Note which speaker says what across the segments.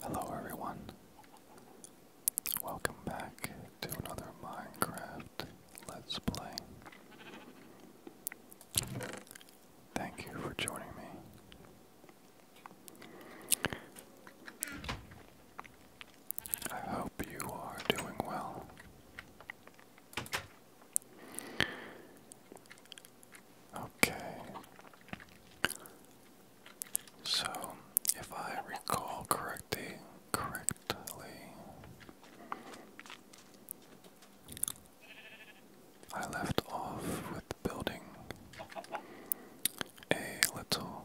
Speaker 1: Hello everyone. Welcome back to another Minecraft Let's Play. Thank you for joining me. I hope you are doing well. Okay. So, if I recall correctly, correctly, I left off with building a little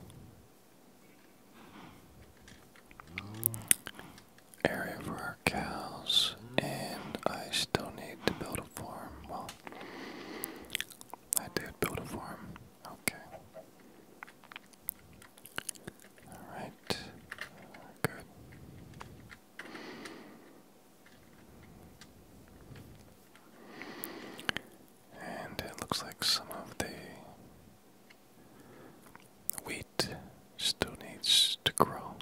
Speaker 1: area for our cows, and I still need to build a farm. Well, I did build a farm. Okay. Alright. Good. And it looks like some of the wheat still needs to grow.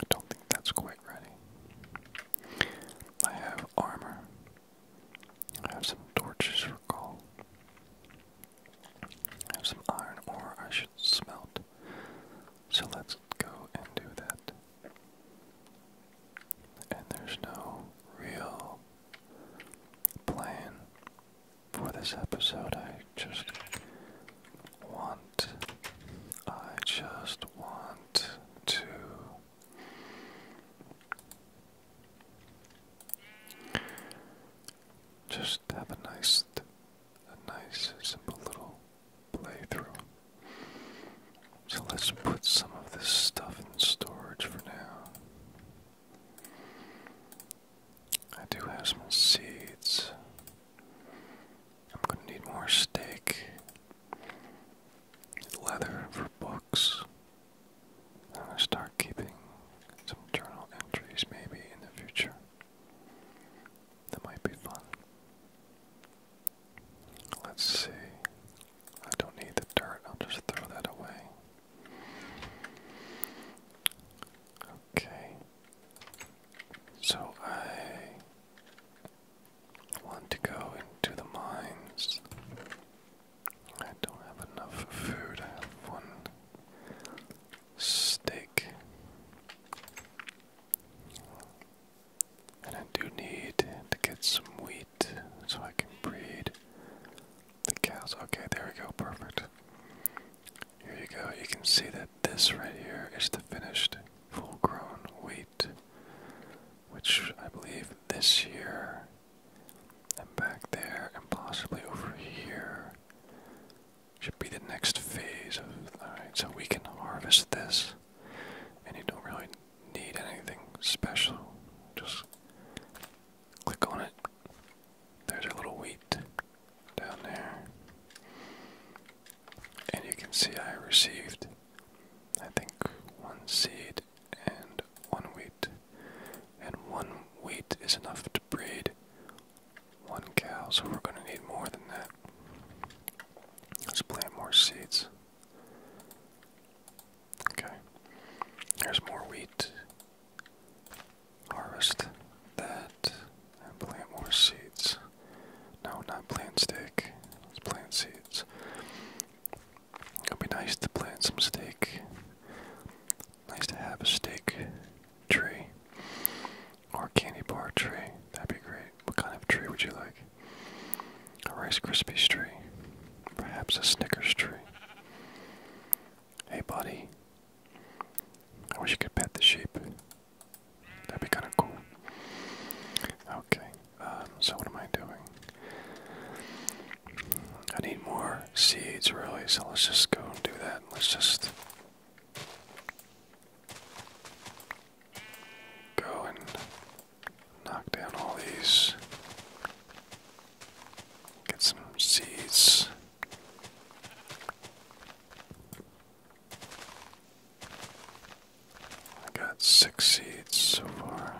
Speaker 1: I don't think that's quite ready. I have armor. I have some torches for coal. I have some iron ore I should smelt. So let's go and do that. And there's no real plan for this episode. I just want. I just want to just have a nice, a nice, simple little playthrough. So let's put some of this stuff in storage for now. I do have some seeds. I'm gonna need more stick leather for books. I'm start keeping some journal entries maybe in the future. That might be fun. Let's see. I don't need the dirt, I'll just throw that away. Okay. So I want to go into the mines. I don't have enough food. I have one steak. And I do need to get some wheat so I can breed the cows. Okay, there we go. Perfect. Here you go. You can see that this right here is the finished full grown wheat, which I believe this year and back there and possibly over here should be the next phase of. so we can harvest this, and you don't really need anything special. Just click on it. There's a little wheat down there. And you can see I received, I think, one seed and one wheat. And one wheat is enough to breed one cow, so we're going to need more than that. Let's plant more seeds. Okay. There's more wheat. Harvest that plant more seeds. No, not plant steak. Let's plant seeds. It'd be nice to plant some steak. Nice to have a steak tree or candy bar tree. That'd be great. What kind of tree would you like? A Rice Krispies tree. Perhaps a Snickers tree. Hey, buddy. I wish you could pet the sheep. That'd be kind of cool. Okay, um, so what am I doing? I need more seeds, really, so let's just go and do that. Let's just go and knock down all these. Get some seeds. I got six seats so far.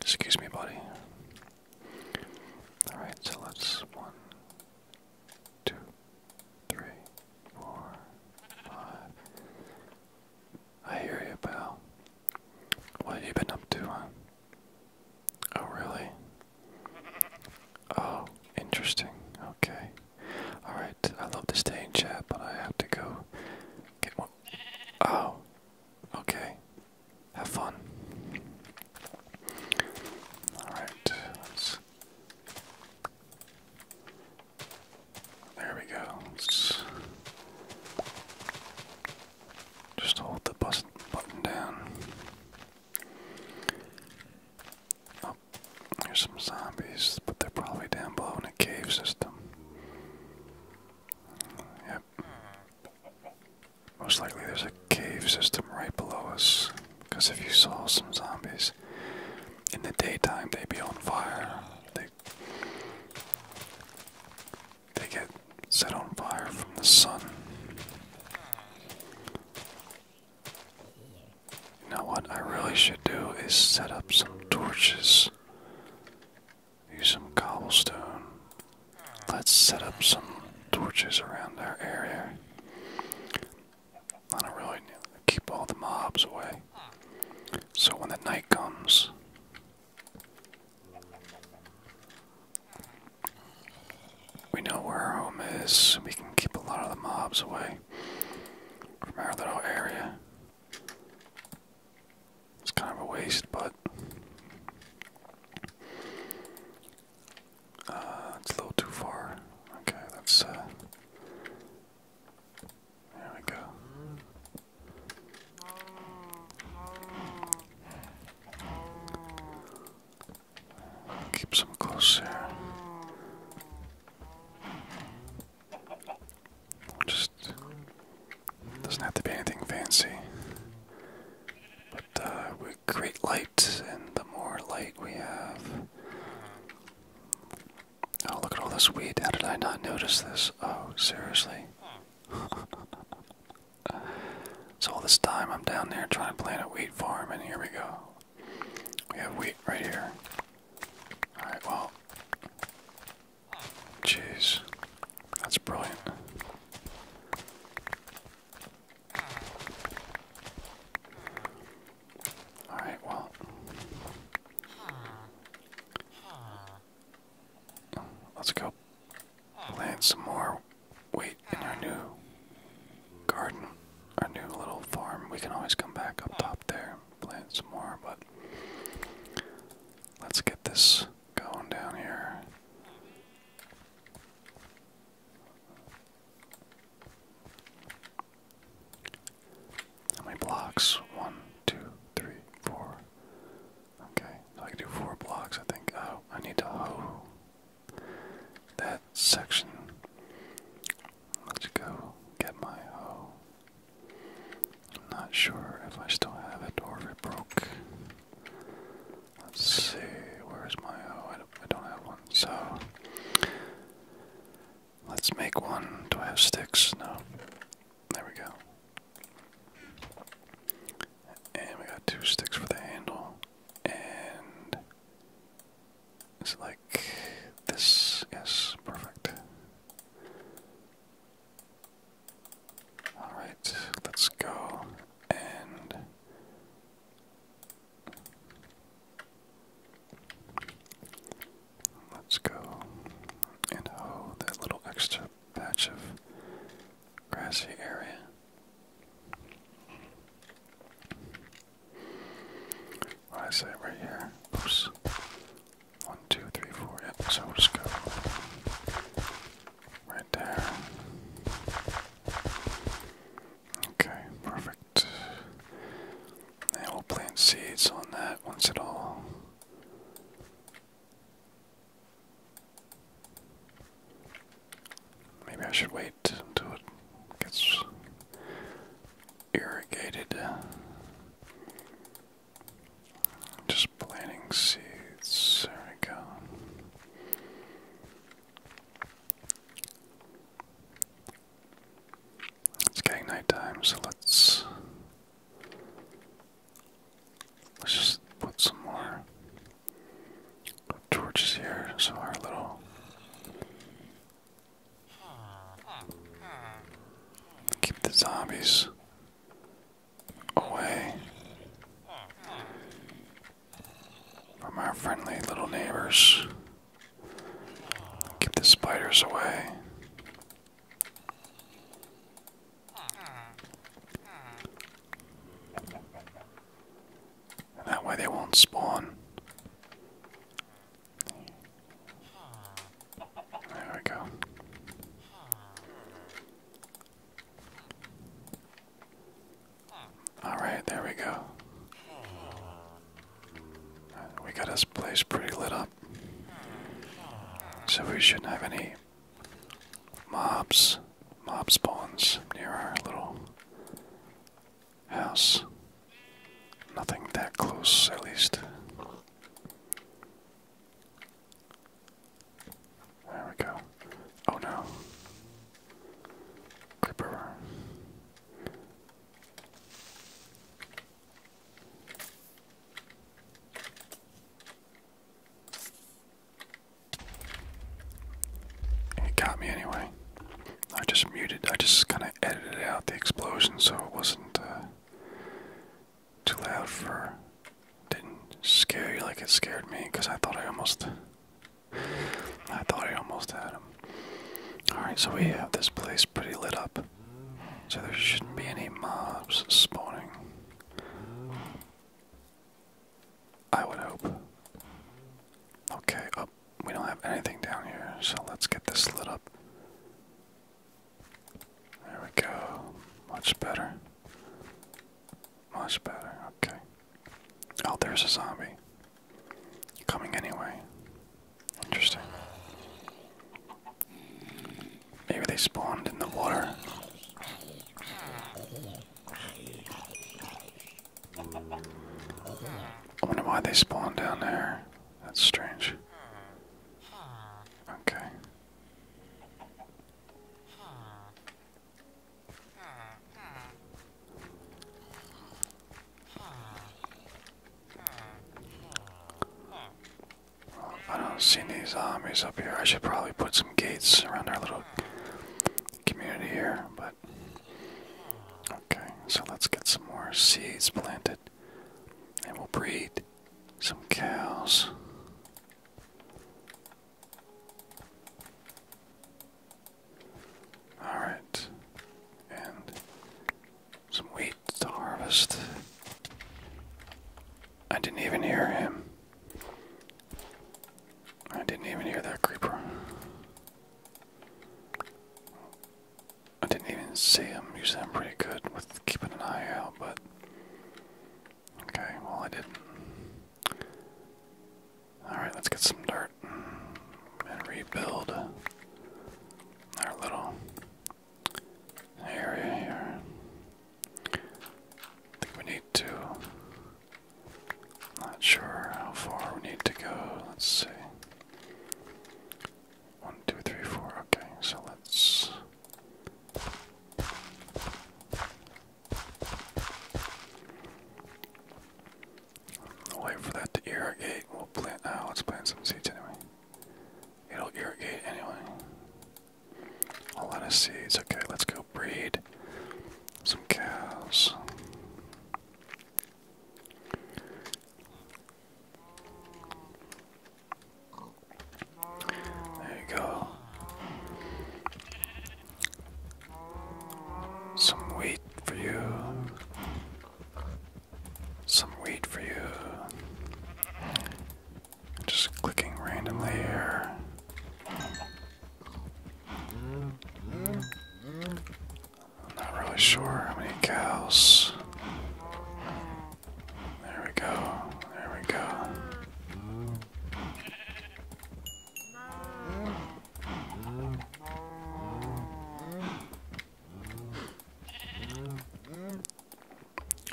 Speaker 1: Excuse me, buddy. Alright, so let's one, four, five. I hear you, pal. What have you been up to, huh? Oh, really? Oh, interesting. Okay. Alright, I love to stay in chat, but I have to go get one. Oh, okay. Have fun. Alright, let's. There we go. Let's just hold the bus button down. There's some zombies, but they're probably down below in a cave system. Yep. Most likely there's a cave system right below us. Because if you saw some zombies in the daytime, they'd be on fire. They, they get set on fire from the sun. You know what I really should do is set up some torches. Use some cobblestone. Let's set up some torches around our area. I do really keep all the mobs away. So when the night comes, we know where our home is. We can keep a lot of the mobs away from our little area. It's kind of a waste, but uh, it's a little too far. Okay, that's uh, there we go. Keeps them closer. Just doesn't have to be anything fancy. But uh, we create light, and the more light we have. Oh, look at all this wheat! How did I not notice this? Oh, seriously. so all this time I'm down there trying to plant a wheat farm, and here we go. We have wheat right here. Alright, well. Jeez. That's brilliant. Alright, well. Let's go land some more wait in our new garden, our new little farm. We can always come back up top there, plant some more, but let's get this going down here. How many blocks? One, two, three, four. Okay, I can do four blocks, I think. Oh, I need to that section. Let's go get my hoe. I'm not sure if I still have it or if it broke. Let's see, where's my hoe? I don't, have one, so let's make one. Do I have sticks? No. There we go. And we got two sticks for the handle. And it's like this. Yes, perfect. Alright, let's go and. Let's go and hoe that little extra patch of grassy area. I say right here? One, two, three, four. so we'll go right there. Okay, perfect. And we'll plant seeds on that once it all. Maybe I should wait wait until it gets irrigated. Just planting seeds. There we go. It's getting nighttime, so let's let's just put some more torches here, so our little keep the zombies away from our friendly little neighbors. Keep the spiders away. And that way they won't spawn. There we go. Alright, there we go. We got this place pretty lit up. So we shouldn't have any mobs, mob spawns near our little house. Nothing that close, at least. There we go. Oh no. Creeper. He got me anyway. I just muted, I just kind of edited out the explosion so it wasn't uh, too loud for. Didn't scare you like it scared me because I thought I almost. I thought I almost had him. Alright, so we have this place pretty lit up. So there shouldn't be any mobs spawning. I would hope. Okay, up. Oh, we don't have anything down here, so let's get this lit up. There we go. Much better. Much better. Okay. Oh, there's a zombie. Coming anyway. Interesting. Maybe they spawned in the water. I wonder why they spawn down there. That's strange. Okay. I don't see any zombies up here. I should probably put some gates around our little community here, but okay, so let's get some more seeds planted and we'll breed some cows. Alright, and some wheat to harvest. I didn't even hear him. I didn't even hear that creeper. I didn't even see him. Usually I'm pretty good with keeping an eye out, but. Okay, well, I didn't. Alright, let's get some dirt and rebuild our little area here. I think we need to not sure how far we need to go. Let's see. One, two, three, four. Okay, so let's. wait for that to irrigate. We'll plant now. Uh, let's plant some seeds anyway. It'll irrigate anyway. A lot of seeds. Okay, let's go breed some cows. There you go. Some wheat for you. Some wheat for you. Just clicking randomly here i not really sure how many cows. There we go. There we go.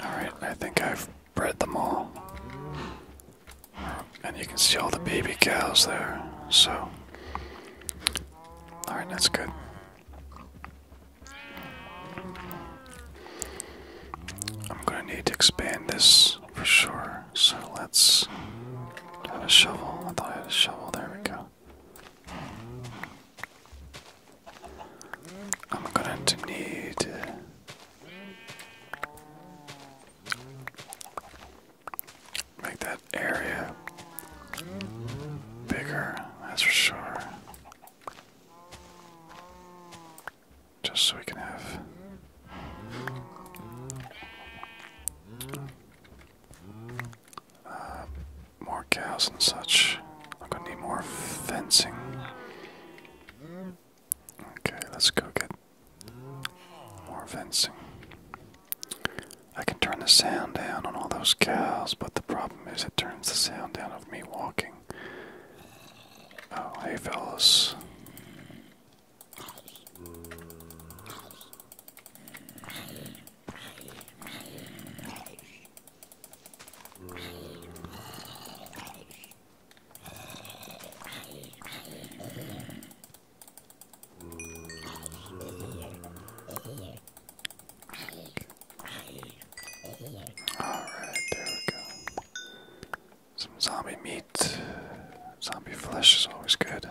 Speaker 1: All right, I think I've bred them all. And you can see all the baby cows there. So, alright, that's good. I'm gonna need to expand this for sure. So, let's have a shovel. I thought I had a shovel. There we go. I'm going to need Make that area bigger, that's for sure. Just so we can have. Uh, more cows and such. I'm gonna need more fencing. Okay, let's go get more fencing. I can turn the sound down on all those cows, but the problem is it turns the sound down of me walking. Oh, hey, fellas. Alright, there we go. Some zombie meat. Zombie flesh is always good.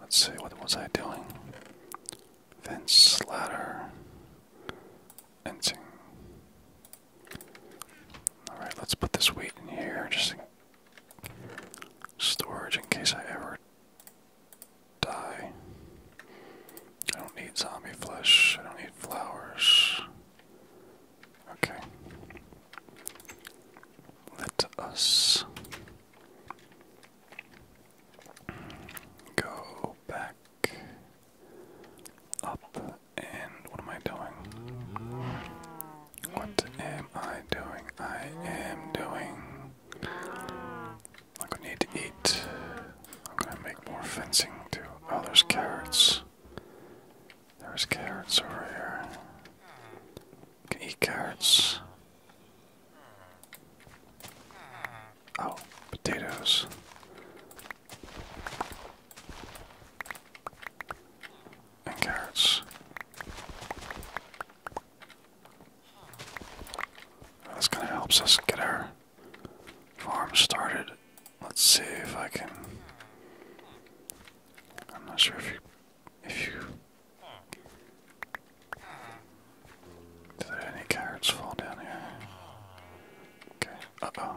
Speaker 1: Let's see, what was I doing? Fence, ladder, fencing. Alright, let's put this weight in here, just in storage in case I ever die. I don't need zombie flesh, I don't need flowers. Okay. Let us go back up and what am I doing? What am I doing? I am doing. I'm gonna need to eat. I'm gonna make more fencing too. Oh, there's carrots. There's carrots over here. Can eat carrots. Oh, potatoes and carrots. This kind of helps us get our farm started. Let's see if I can. I'm not sure if you. If you. Did any carrots fall down here? Okay. Uh oh.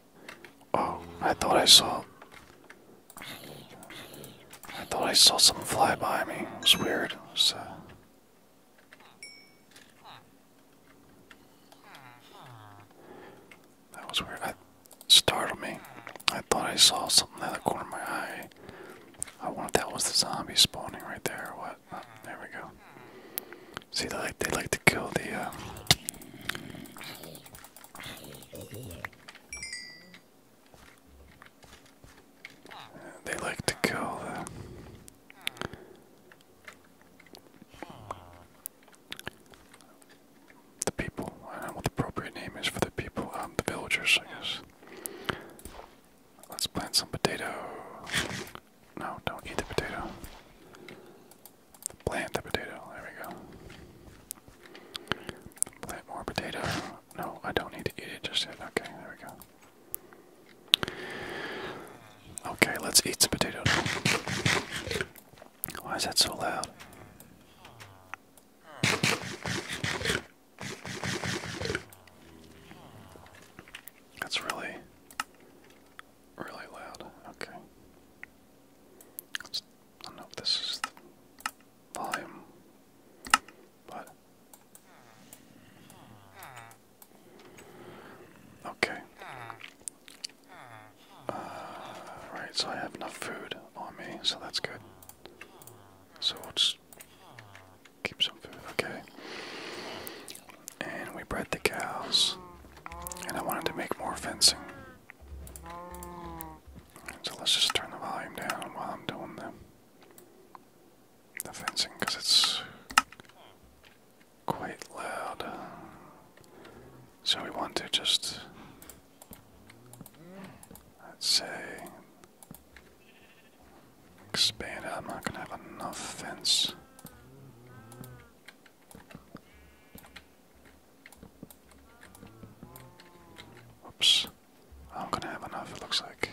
Speaker 1: Oh, I thought I saw. I thought I saw something fly by me. It was weird. It uh, That was weird. That startled me. I thought I saw something out of the corner of my eye. I wonder if that was the zombie spawning right there or what. Oh, there we go. See, they like they like to kill the. Uh... They like to kill the. The people. I don't know what the appropriate name is for the people. Um, the villagers, I guess. Let's plant some potatoes. No, don't eat the potato. Plant the potato. There we go. Plant more potato. No, I don't need to eat it just yet. Okay, there we go. Okay, let's eat some potato now. Why is that so loud? That's really really loud. Okay. Let's, I don't know if this is volume, but. Okay. Uh, so I have enough food on me, so that's good. So we'll just keep some food, okay and we bred the cows. And I wanted to make more fencing. So let's just turn the volume down while I'm doing the, the fencing because it's quite loud. So we want to just, let's say, expand. I'm not going to have enough fence. Oops. I'm gonna have enough, it looks like.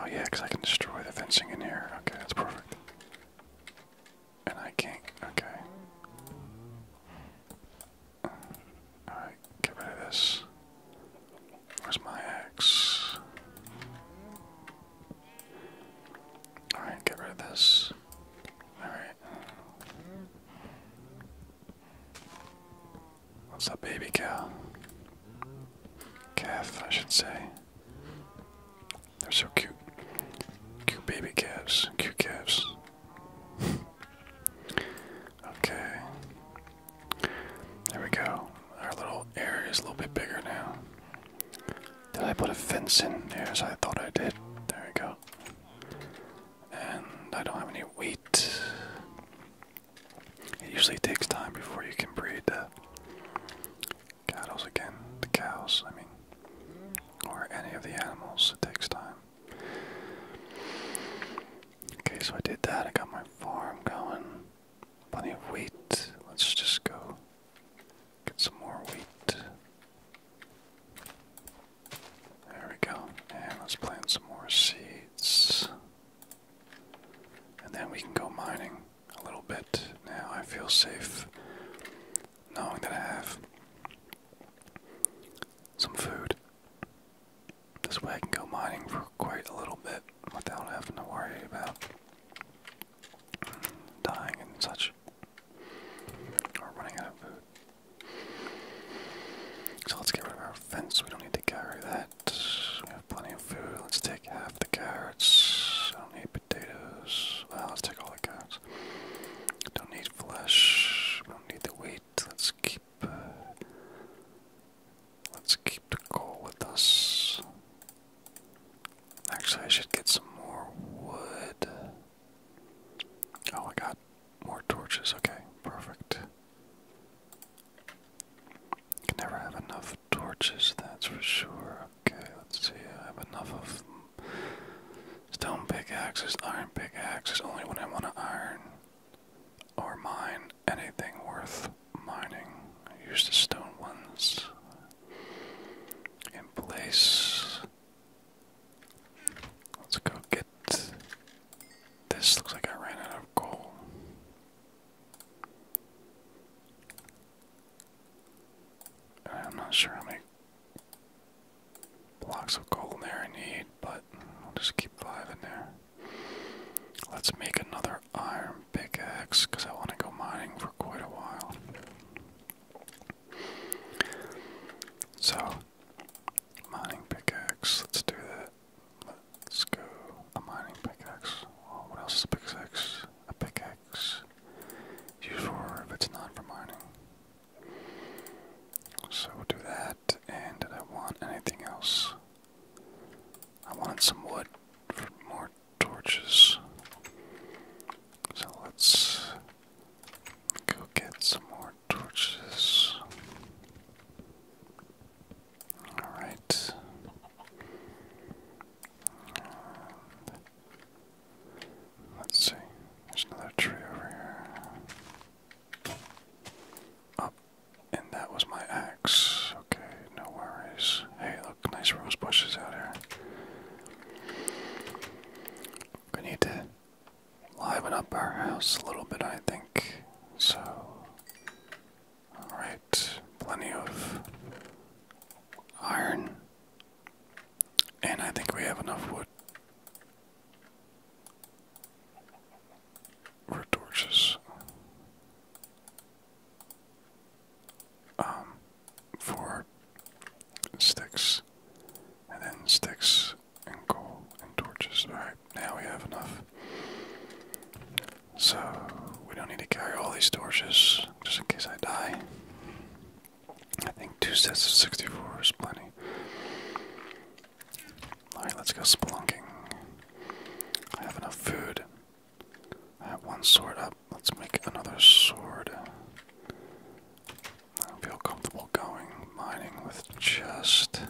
Speaker 1: Oh, yeah, because I can destroy the fencing in here. Okay, that's perfect. And I can't. Okay. Alright, get rid of this. Where's my axe? Alright, get rid of this. Alright. What's that baby cow? Calf, I should say. They're so cute. Cute baby calves. Cute calves. okay. There we go. Our little area is a little bit bigger now. Did I put a fence in there as I thought I did? There we go. And I don't have any wheat. It usually takes time before you can breed the cattle again. The cows, I mean. Or any of the animals. It takes time. Okay, so I did that. I got my farm going. Plenty of wheat. Let's just go Get some more wheat. There we go. And let's plant some more seeds. And then we can go mining a little bit. Now I feel safe knowing that I have some food. This way I can go mining for quite a little bit without having to worry about dying and such, or running out of food. So let's get rid of our fence. We don't need to carry that. We have plenty of food. Let's take half the carrots. I don't need potatoes. Well, let's take all the carrots. Don't need flesh. We don't need the wheat. Let's keep. Uh, let's keep the coal with us. Actually, I should get some more wood. Oh, I got more torches. Okay, perfect. Can never have enough torches, that's for sure. Okay, let's see. I have enough of stone pickaxes, iron pickaxes, only when I want to iron or mine anything worth mining. I the stone ones in place. Let's go get this. Looks like I ran out of coal. I'm not sure how many blocks of gold there I need, but I'll just keep five in there. Let's make another iron pickaxe I want to go mining for quite a while. So, mining pickaxe, let's do that. Let's go. A mining pickaxe. Oh, what else is a pickaxe? A pickaxe. Use if it's not for mining. So we'll do that. And I want anything else? I wanted some wood for more torches. So let's go get some more torches. Alright. Let's see. There's another tree over here. Up. Oh, and that was my axe. Okay no worries. Hey, look, nice rose bushes out here. We need to liven up our house a little bit, I think. So, alright, plenty of iron. And I think we have enough wood for torches um, for sticks, and then sticks and coal and torches. Alright, now we have enough. So, we don't need to carry all these torches just in case I die. I think two sets of 64 is plenty. Alright, let's go spelunking. I have enough food have one sword up. Let's make another sword. I don't feel comfortable going mining with just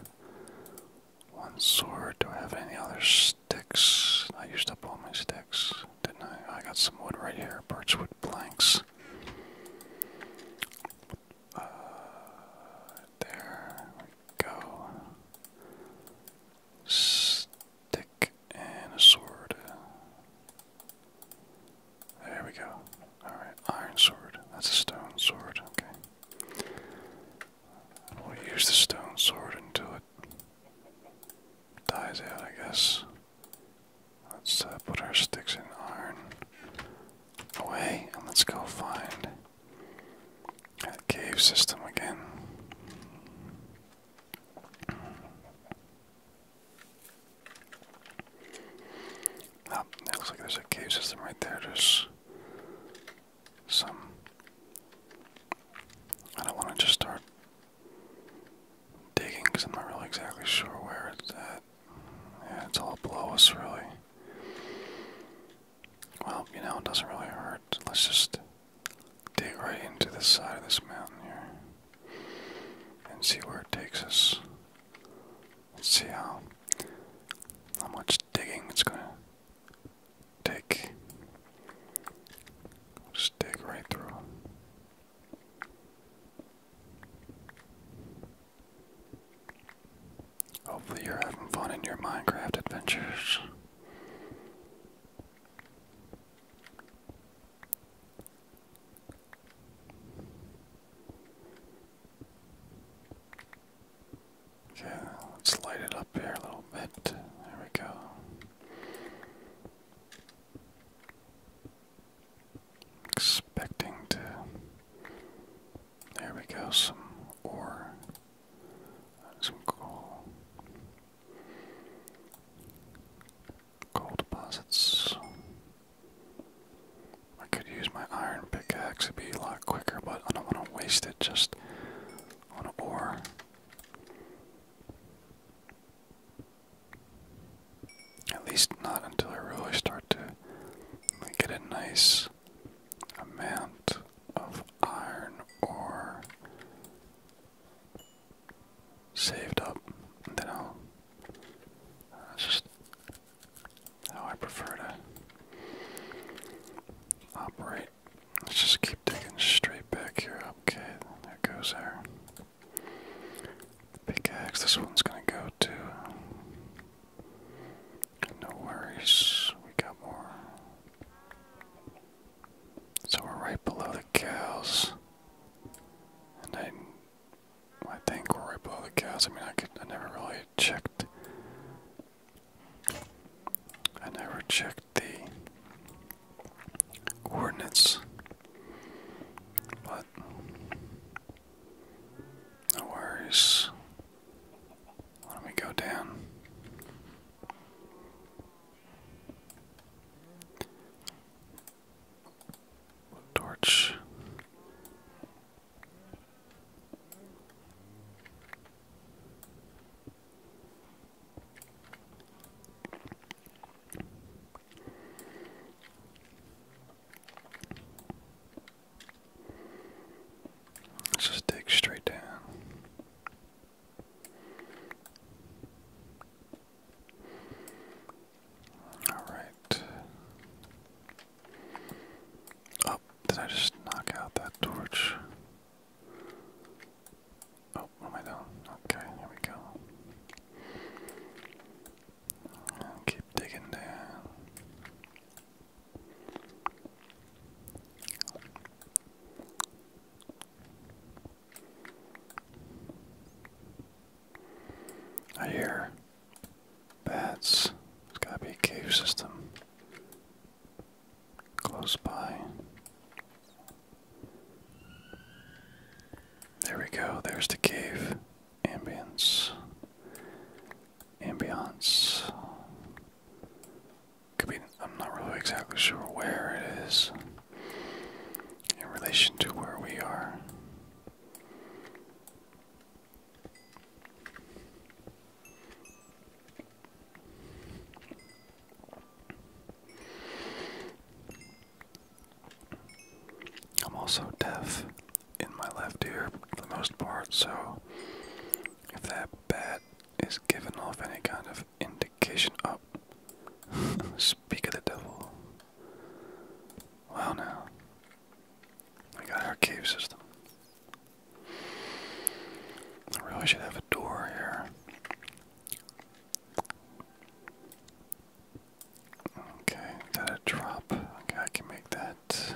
Speaker 1: one sword. Do I have any other sticks? I used up all my sticks, didn't I? I got some wood right here, birchwood planks. Uh, there we go. Dick and a sword. There we go. Alright, iron sword. That's a stone sword, okay. We'll use the stone sword until it dies out, I guess. Let's uh, put our sticks in iron away, and let's go find that cave system again. Oh, it looks like there's a cave system right there. There's some. I don't want to just start digging because I'm not really exactly sure where it's at. Yeah, it's all below us, really. Well, you know, it doesn't really hurt. Let's just dig right into the side of this mountain here and see where it takes us. Let's see how how much digging it's gonna take. just dig right through. Hopefully, you're having fun in your Minecraft adventures. Okay, let's light it up here a little bit. There we go. Expecting to. There we go, some ore, some coal. Coal deposits. I could use my iron pickaxe, it be a lot quicker, but I don't want to waste it just on ore. At least not until I really start to get a nice amount of iron ore saved up, and then I'll. that's just how I prefer to operate. Let's just keep digging straight back here. Up, Okay, there goes there. Pickaxe, this one's gonna go to. No worries, we got more. So we're right below the cows. And I, I think we're right below the cows. I mean, I, could, I never really checked. I never checked the coordinates. But, no worries. Why do go down? Torch. just dig straight down. All right. Oh, did I just knock out that torch? Oh, am I doing? Okay, here we go. keep digging down. I hear bats. There's gotta be a cave system close by. There we go. There's the cave ambience. Ambiance. I'm not really exactly sure where it is in relation to where we are. I'm also deaf in my left ear for the most part, so if that bat is giving off any kind of indication of speak of the devil. Wow now. We got our cave system. I really should have a door here. Okay, got a drop. Okay, I can make that.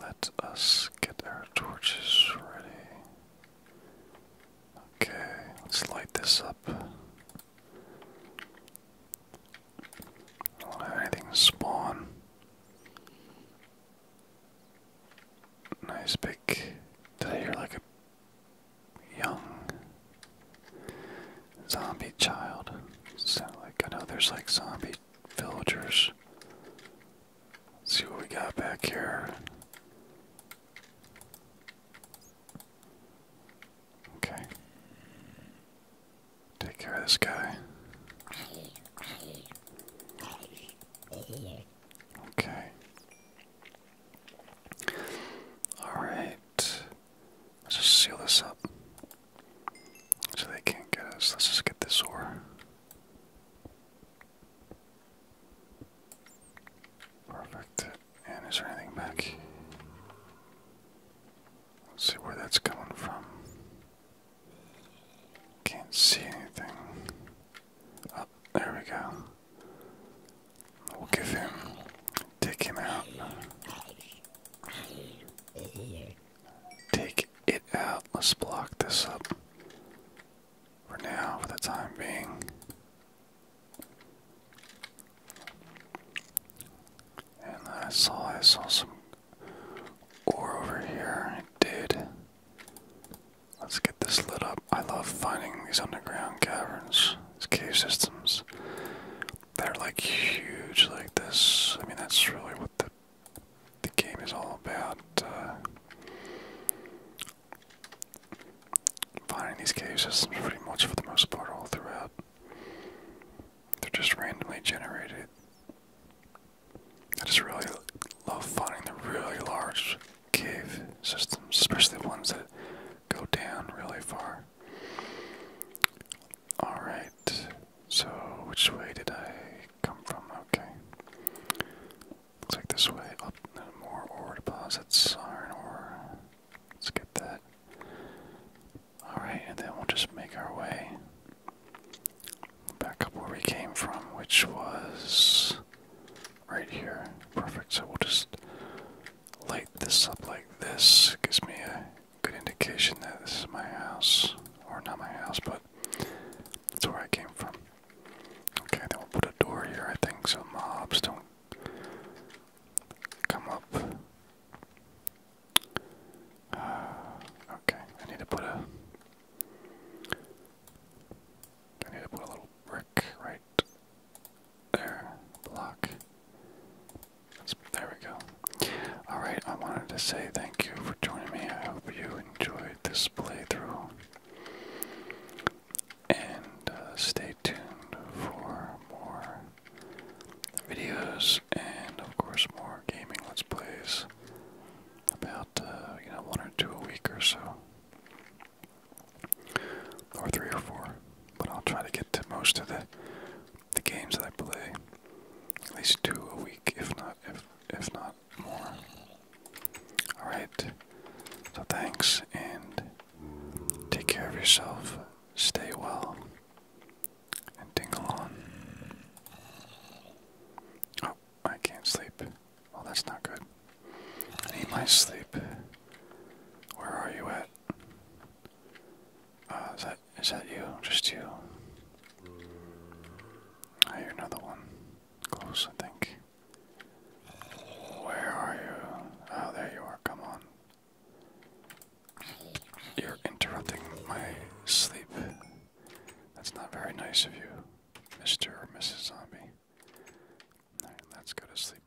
Speaker 1: Let let us get our torches ready. Okay, let's light this up. don't have anything spawn. Nice big. Did I hear like a young zombie child? Sound like I know there's like zombie villagers Let's see what we got back here. Okay. Take care of this guy. Okay. Alright. Let's just seal this up. So they can't get us. Let's just get this ore. Perfect. And is there anything back? see where that's coming from. Can't see anything. Oh, there we go. We'll give him, take him out. Take it out. Let's block this up for now, for the time being. And I saw I saw some ore over here. It did. Let's get this lit up. I love finding these underground caverns, these cave systems. They're like huge like this. I mean that's really what the the game is all about uh, finding these caves. systems pretty much for the most part all throughout. They're just randomly generated. I just really love finding the really large cave systems, especially the ones that go down really far. Alright, so which way did I come from? Okay. Looks like this way. Up more ore deposits, iron ore. Let's get that. Alright, and then we'll just make our way back up where we came from, which was right here. Perfect. So we'll just light this up like this. Gives me a good indication that this is my house. Or not my house, but that's where I came from. Okay, then we'll put a door here, I think, so mobs don't come up. Ah, okay, I need to put a. I need to put a little brick right there. Block. There we go. Alright, I wanted to say thank you for joining me. I hope you enjoyed this playthrough. And uh, stay tuned for more videos and, of course, more gaming let's plays. About, uh, you know, one or two a week or so. Or three or four. But I'll try to get to most of the, the games that I play. At least two a week, if not, if, if not Alright, so thanks and take care of yourself, stay well, and ding on. Oh, I can't sleep. Well, that's not good. I need my sleep. Where are you at? Uh, is that is that you? Just you? I hear another one. Close, I think. Where are you? Oh, there you are. Come on. You're interrupting my sleep. That's not very nice of you, Mr. or Mrs. Zombie. let's go to sleep.